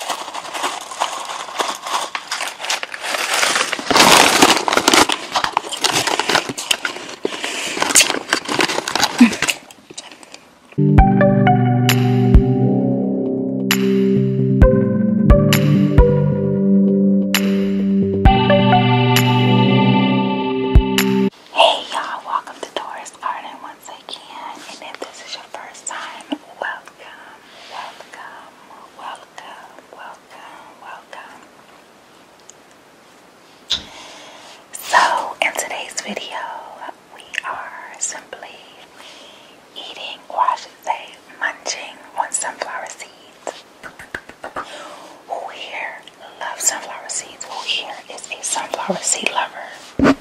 Hey y'all, welcome to Taurus Garden 1 once again, and if this is your first time, welcome, welcome, welcome, welcome, welcome. So, in today's video, we are simply eating, or I should say, munching on sunflower seeds. Who here loves sunflower seeds? Who here is a sunflower seed lover?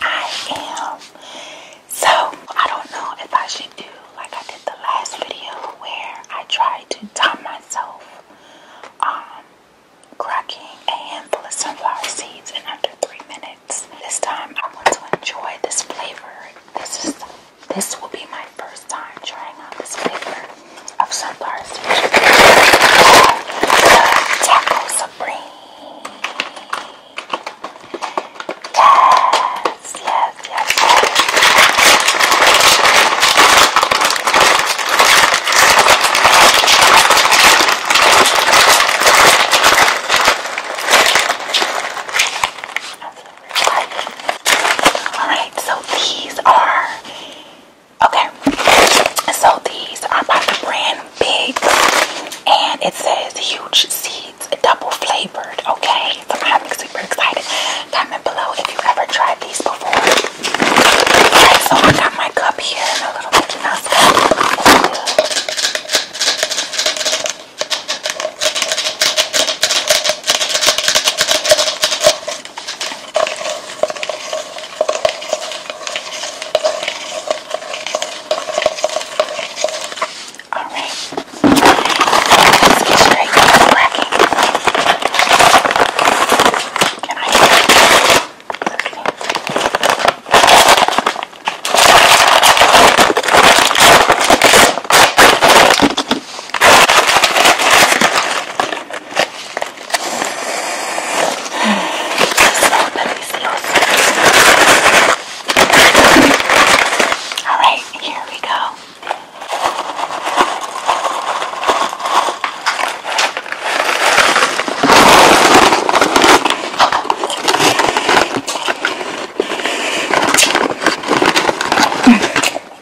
I am. So, I don't know if I should do like I did the last video where I tried to time myself um, cracking a handful of sunflower seeds in under three minutes. This time I want to enjoy this flavor. This is this will be my first time trying out this flavor of Sunflower Search. Taco Supreme. Yes, yes, yes, Alright, so these are okay. So these are about to brand Big and it says huge seeds double flavored. Okay, so I'm super excited. Comment below if you've ever tried these before. Alright, so I got my cup here a little Mickey Mouse all right, let's get straight to the blacking. Can I hear it? Okay. All right, here we go.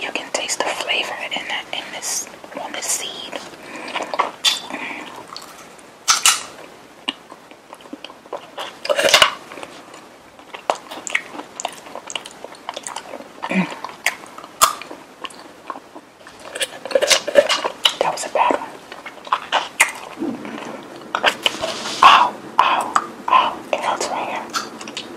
you can taste the flavor in that in this on the seed. that was a bad one. Ow, ow, ow, it hurts right here.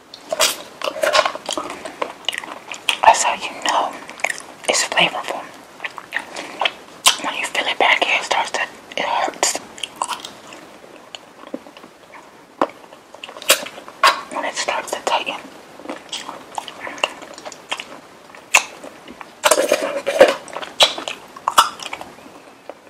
That's how you know it's flavorful. When you fill it back it starts to, it hurts. When it starts to tighten.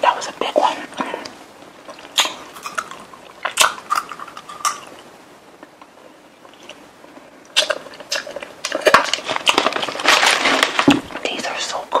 that was a big one. These are so good.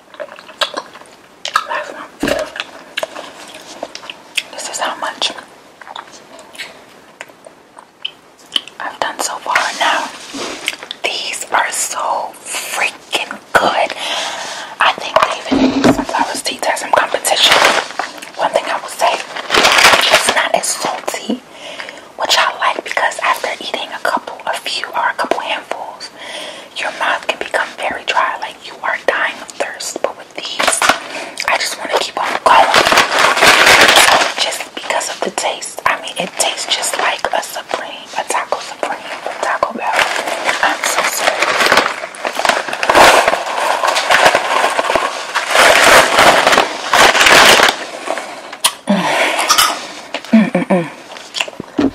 Last one. This is how much I've done so far now. These are so freaking good. I think even sunflower seeds have some competition. One thing I will say, it's not as salty, which I like because after eating a couple, a few or a couple handfuls, your mouth can become very dry, like you are dying of thirst. But with these, I just want to keep on going. Just because of the taste. I mean, it tastes just like a Supreme, a Taco Supreme a Taco Bell. I'm so sorry. Mm, mm, mm,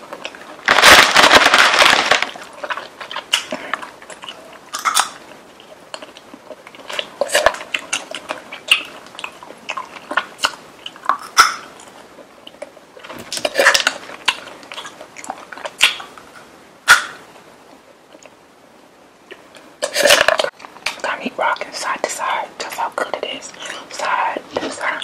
Come eat rocking side to side. That's how good it is. Side to side.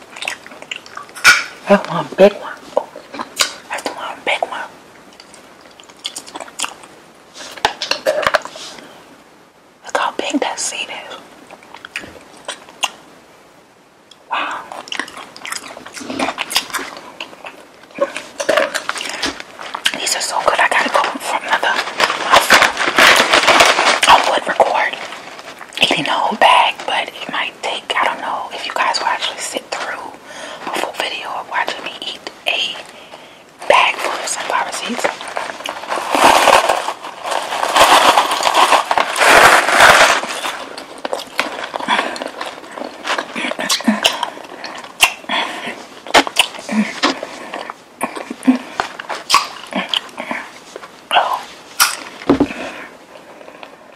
That's one big one. that's one big one. Look how big that seed is. Wow. These are so good. I gotta go for another. I would record. You know, bag, but it might take. I don't know if you guys will actually sit through a full video of watching me eat a bag full of sunflower seeds.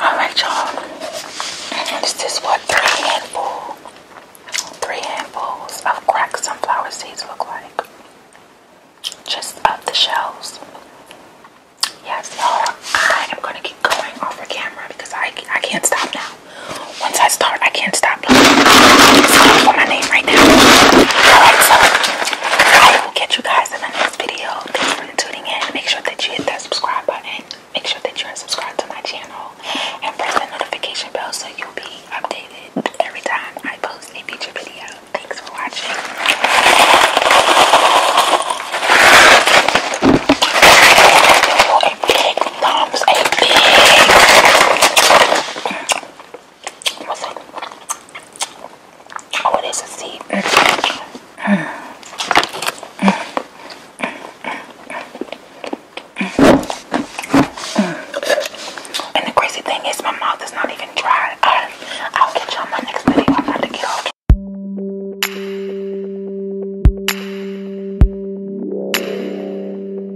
Alright, y'all. This is what three handful, three handfuls of cracked sunflower seeds look like. Just up the shelves. Yes, y'all. I am gonna keep going off the camera because I I can't stop now. Once I start, I can't stop stop my name right now. Alright, I will catch you guys in the next video. Thanks for tuning in. Make sure that you hit that subscribe button. Make sure that you are subscribed to my channel and press the notification bell so you'll be updated every time I post a feature video. Thanks for watching. A big thumbs, a What's that? Oh, it is a seed. And the crazy thing is, my mouth is not even dry. I'll catch y'all next video. I'm about to get off.